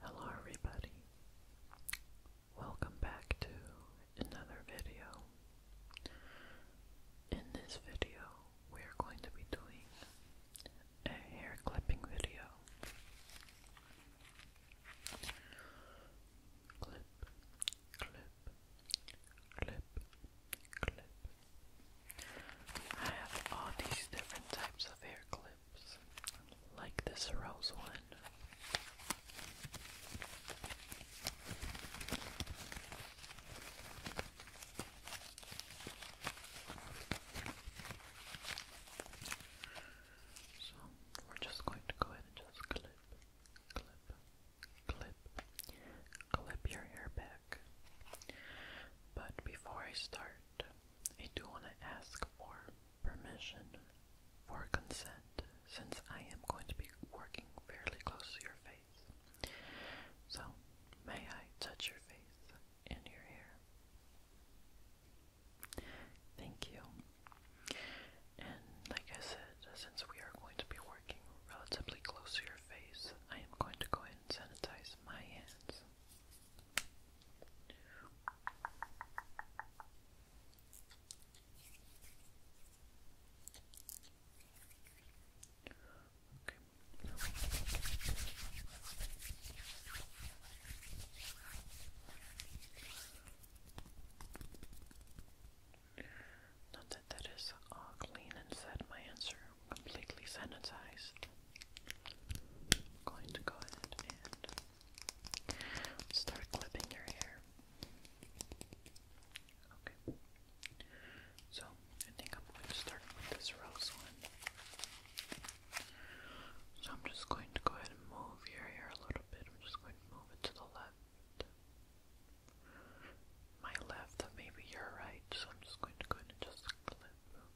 Hello everybody. Welcome back to another video. In this video, we're going to be doing a hair clipping video. Clip, clip, clip, clip. I have all these different types of hair clips like this rose one. So we're just going to go ahead and just clip, clip, clip, clip your hair back. But before I start, I do want to ask for permission for consent since I am going to be working fairly close to your face. So, may I touch your face and your hair? Thank you. And like I said, since we are going to be working relatively close to your face, I am going to go ahead and sanitize my hands. Okay. Not that that is all clean and said my answer completely sanitized. I'm going to go ahead and start clipping your hair. Okay. So, I think I'm going to start with this rose one. So, I'm just going to go ahead and move your hair a little bit. I'm just going to move it to the left. My left, maybe your right. So, I'm just going to go ahead and just clip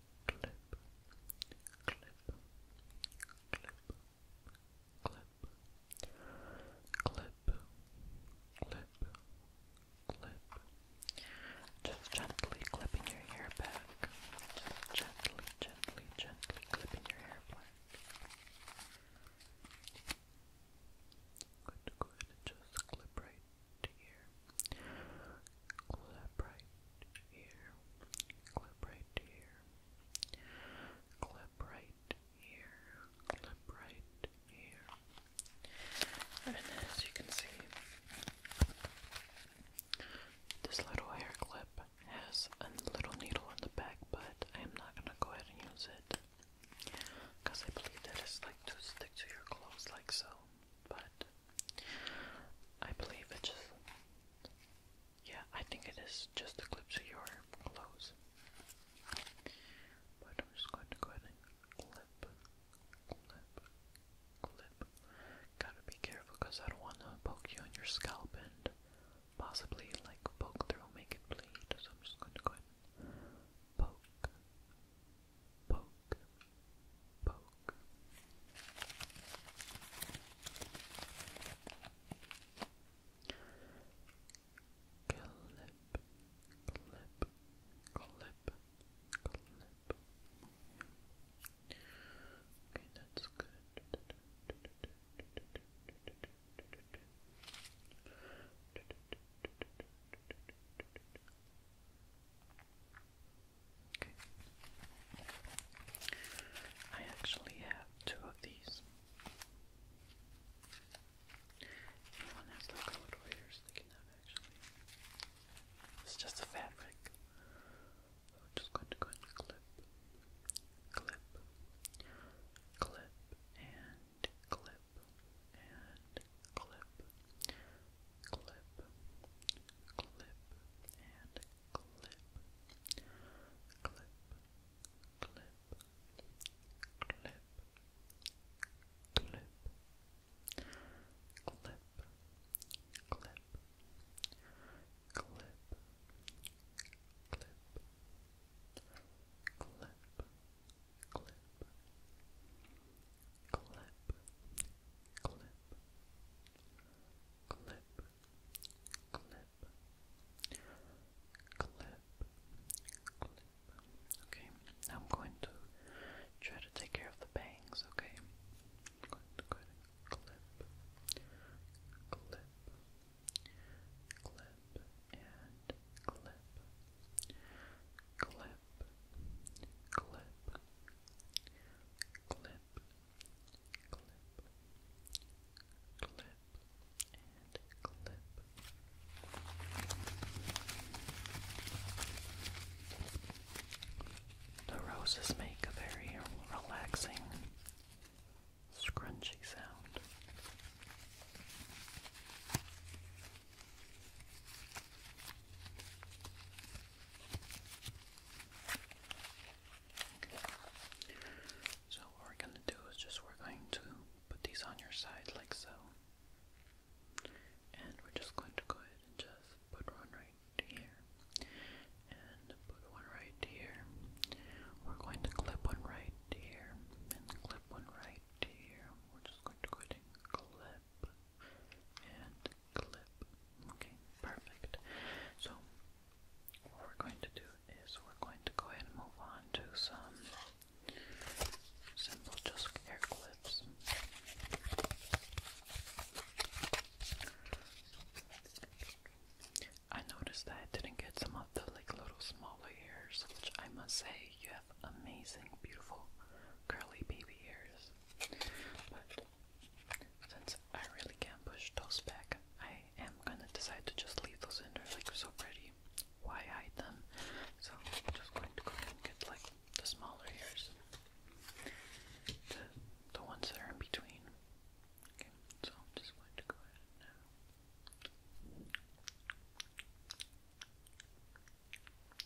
clip, clip, clip, clip, clip, clip. Just gently clipping your hair back. gently, gently, gently clipping your hair back. Good, good. Just clip right here clip right here, clip right here, clip right here, clip right here. And as you can see, this little hair clip has a little needle in the back, but I am not going to go ahead and use it because I believe that it's like to stick to your clothes, like so but I believe it just. Yeah, I think it is just a clips of your clothes. But I'm just going to go ahead clip, clip, clip. Gotta be careful because I don't want to poke you on your scalp and possibly like poke through, make it bleed. So I'm just going to go ahead poke, poke, Poke. Clip, clip, clip, clip. Okay, that's good. I actually have two of these. one has the colored wires they can have actually. It's just a fabric. I'm just going to go and clip, clip, clip, and clip, and clip clip, clip, and clip, clip, clip, clip, clip, clip, clip, clip, clip, clip, clip, clip, clip, clip, clip, clip, clip. Okay, now I'm going to try to take care of the bangs, okay? I'm going to go ahead and clip, clip, clip, and clip, clip, clip, clip, clip, clip, and clip. The roses make a very relaxing, scrunchy sound. So what we're going to do is just we're going to put these on your side like so. And we're just going to go ahead and just put one right here. And put one right here. We're going to clip one right here. And clip one right here. We're just going to go ahead and clip and clip. Okay, perfect. So, what we're going to do is we're going to go ahead and move on to some simple just hair clips. I noticed that I didn't get some of the like little smaller ears, which I must say you have amazing, beautiful, curly baby ears. But since I really can't push those back, I am gonna decide to just leave those in. They're like so pretty. Why hide them? So I'm just going to go ahead and get like the smaller ears, the the ones that are in between. Okay, so I'm just going to go ahead uh,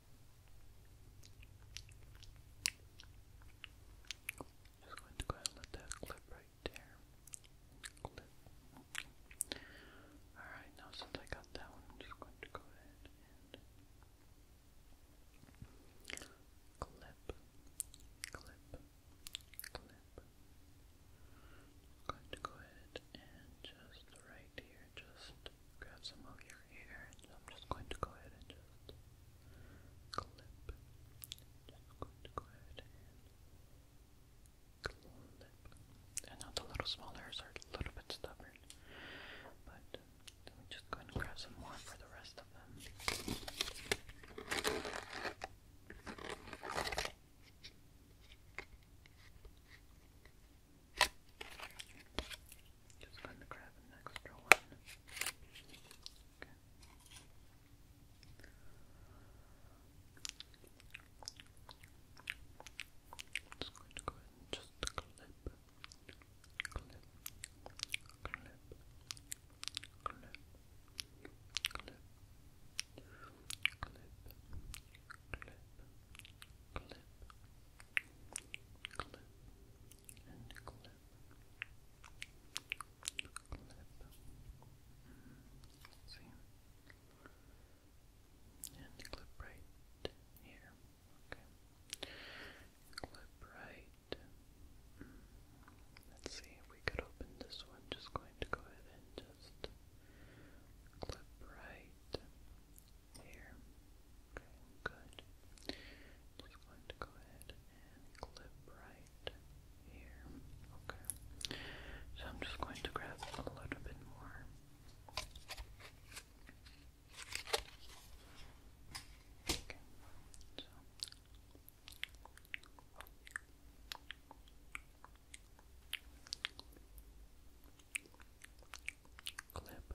Just going to go ahead and let that clip right there. Clip. Alright, now since I got that one, I'm just going to go ahead and clip, clip, clip. going to go ahead and just right here, just grab some of your here, I'm just going to go ahead and just clip. Just going to go ahead and clip. I know the little small hairs are a little bit stubborn, but let just go ahead and grab some more for the rest of them. Just going to grab an extra one. Okay. Just going go ahead and just clip, clip, clip, clip, clip, clip, clip, clip, clip, clip and clip, clip. See, and clip right here. Okay, clip right. Let's see if we could open this one. Just going to go ahead and just clip right here. Okay, good. Just going to go ahead and clip right here. Okay. So I'm just going to grab a little bit more. Okay. So Clip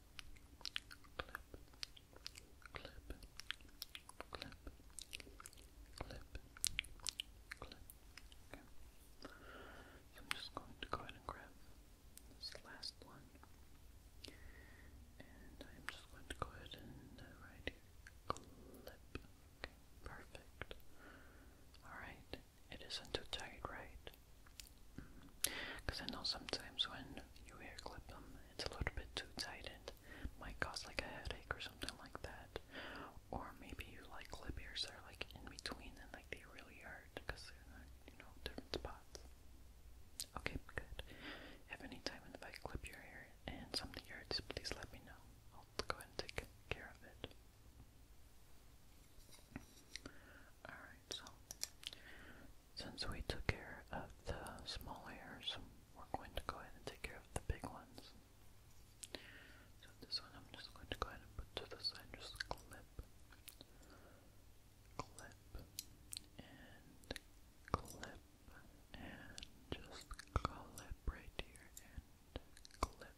clip, clip, So I'm just going to go ahead and grab this last one, and I'm just going to go ahead and uh, here, clip. Okay, perfect. All right, it isn't too tight, right? Because mm. I know sometimes when you hair clip them, it's a little bit too tight and might cause like a headache or something like that. Or maybe you like clip ears that are like in between and like they really hurt because they're not, you know, different spots. Okay, good. If any time if I clip your hair and something hurts, please let me know. I'll go and take care of it. Alright, so since we took care of the small hairs, we're going to go ahead and take care of the big ones. So this one I'm just going to go ahead and put to the side, just clip, clip, and clip, and just clip right here, and clip, clip,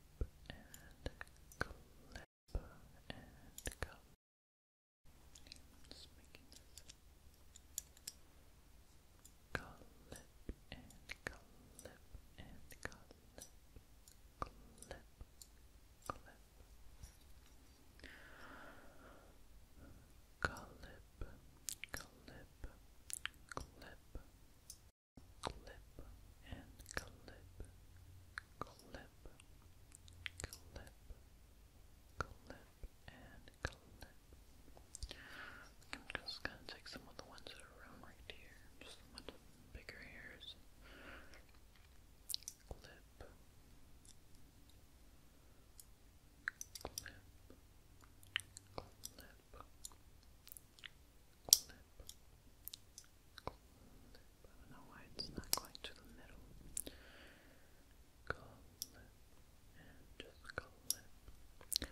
and clip and cup. Just making clip and clip and clip, clip, clip. Clip, clip, clip, clip just gonna take some of the ones around right here, just the bigger hairs clip, clip. I don't know why it's not going to the middle. Clip and just clip, clip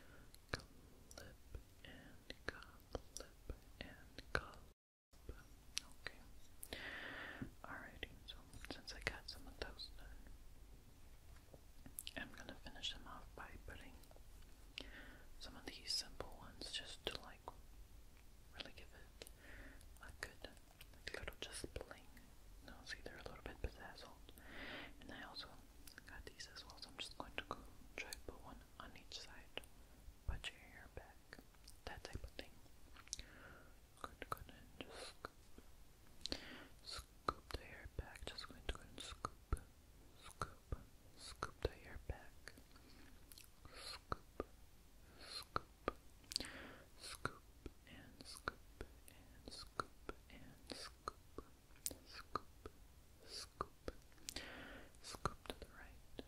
and clip and clip. Okay. Alrighty. So since I got some of those done, I'm gonna finish them off by putting some of these simple ones just to like really give it a good little just bling. No, see they're a little bit bedazzled. And I also got these as well, so I'm just going to go try to put one on each side. Put your hair back. That type of thing. Good, good, and just scoop the hair back. Just going to go and scoop scoop, scoop to your back, scoop, scoop, scoop and scoop and scoop and scoop, scoop, scoop, scoop to the right,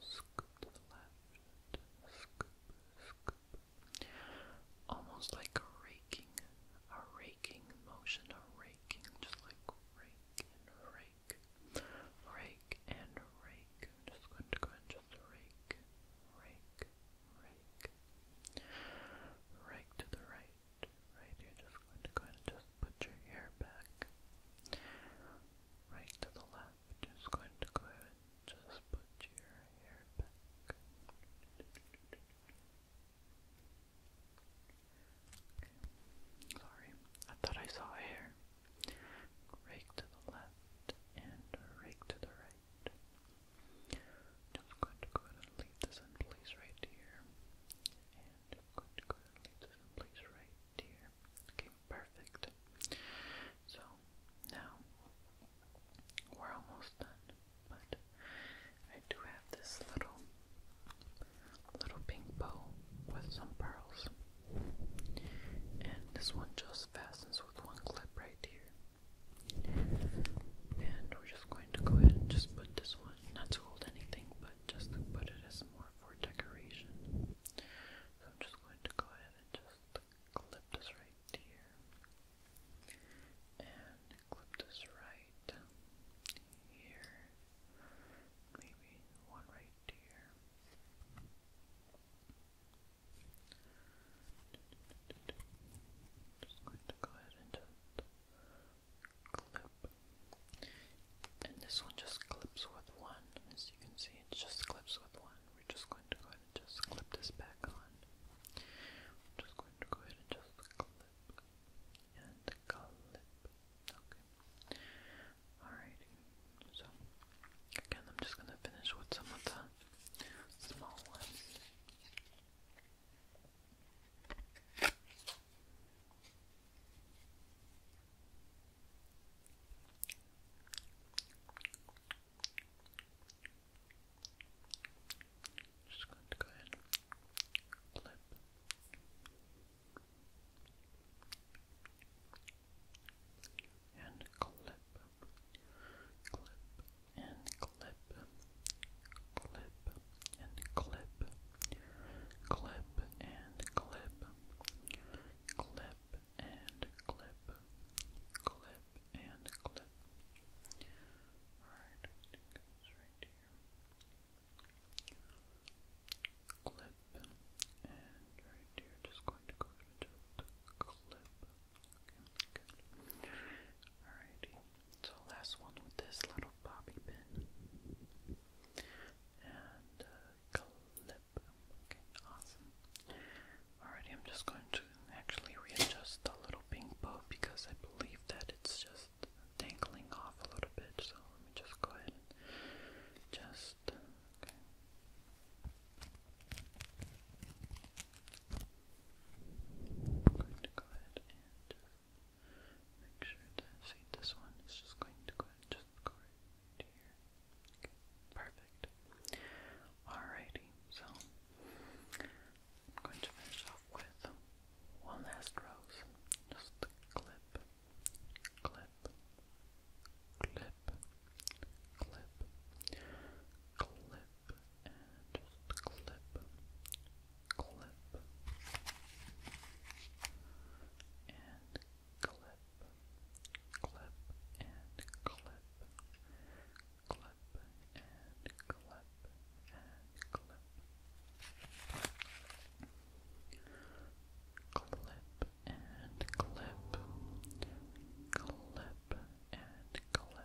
scoop to the left, scoop, scoop, almost like raking, a raking motion, of raking, just like rake and rake, rake and rake. just going to go and just rake, rake, rake, rake to the right, right. You're just going to go and just put your hair back, right to the left. Just going to go and just put your hair back. Sorry, I thought I saw a hair. Rake to the left and rake to the right. Just going to go ahead and leave this in place right here. And going to go ahead and leave this in place right here. Okay, perfect. So now we're almost done, but I do have this little little pink bow with some pearls. And this one just fastens with one clip right here. And we're just going to go ahead and just put this one, not to hold anything, but just to put it as more for decoration. So I'm just going to go ahead and just clip this right here. And clip this right here, maybe one right here. Just going to go ahead and clip. And this one just clips with one. As you can see, it just clips with one. We're just going to go ahead and just clip this back on. just going to go ahead and just clip and Calip. Okay. Alrighty. So again I'm just gonna finish with some of the small ones. Just going to go ahead and clip and clip, clip and clip, clip and clip, clip and clip, clip and clip, clip and clip. Alright, I think it goes right here clip, and uh, right here, just going to go ahead clip. Alrighty, so last one with this little bobby pin and clip. Okay, awesome. Alrighty, I'm just going to actually readjust the little pink bow because I believe that it's just dangling off a little bit, so let me just go ahead and just, okay. I'm going to go ahead and make sure that, see this one is just going to go ahead and just go right here. perfect. Alrighty, so I'm going to finish off with one last rose. Just clip, clip, clip, clip, clip, and just clip, clip, and clip, clip, and clip, clip, and clip clip, clip and clip, clip and clip, clip and clip,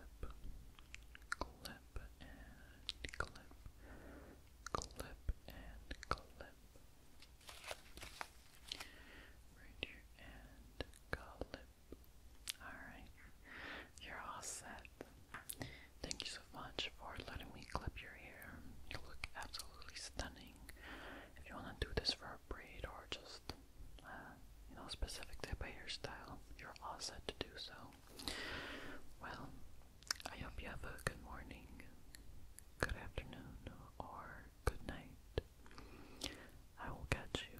clip and clip. Right here and clip. Alright, you're all set. Thank you so much for letting me clip your hair. You look absolutely stunning. If you want to do this for a braid or just, uh, you know, specific type of hairstyle, you're all set to do so. Well, I hope you have a good morning, good afternoon, or good night. I will catch you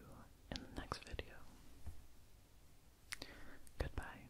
in the next video. Goodbye.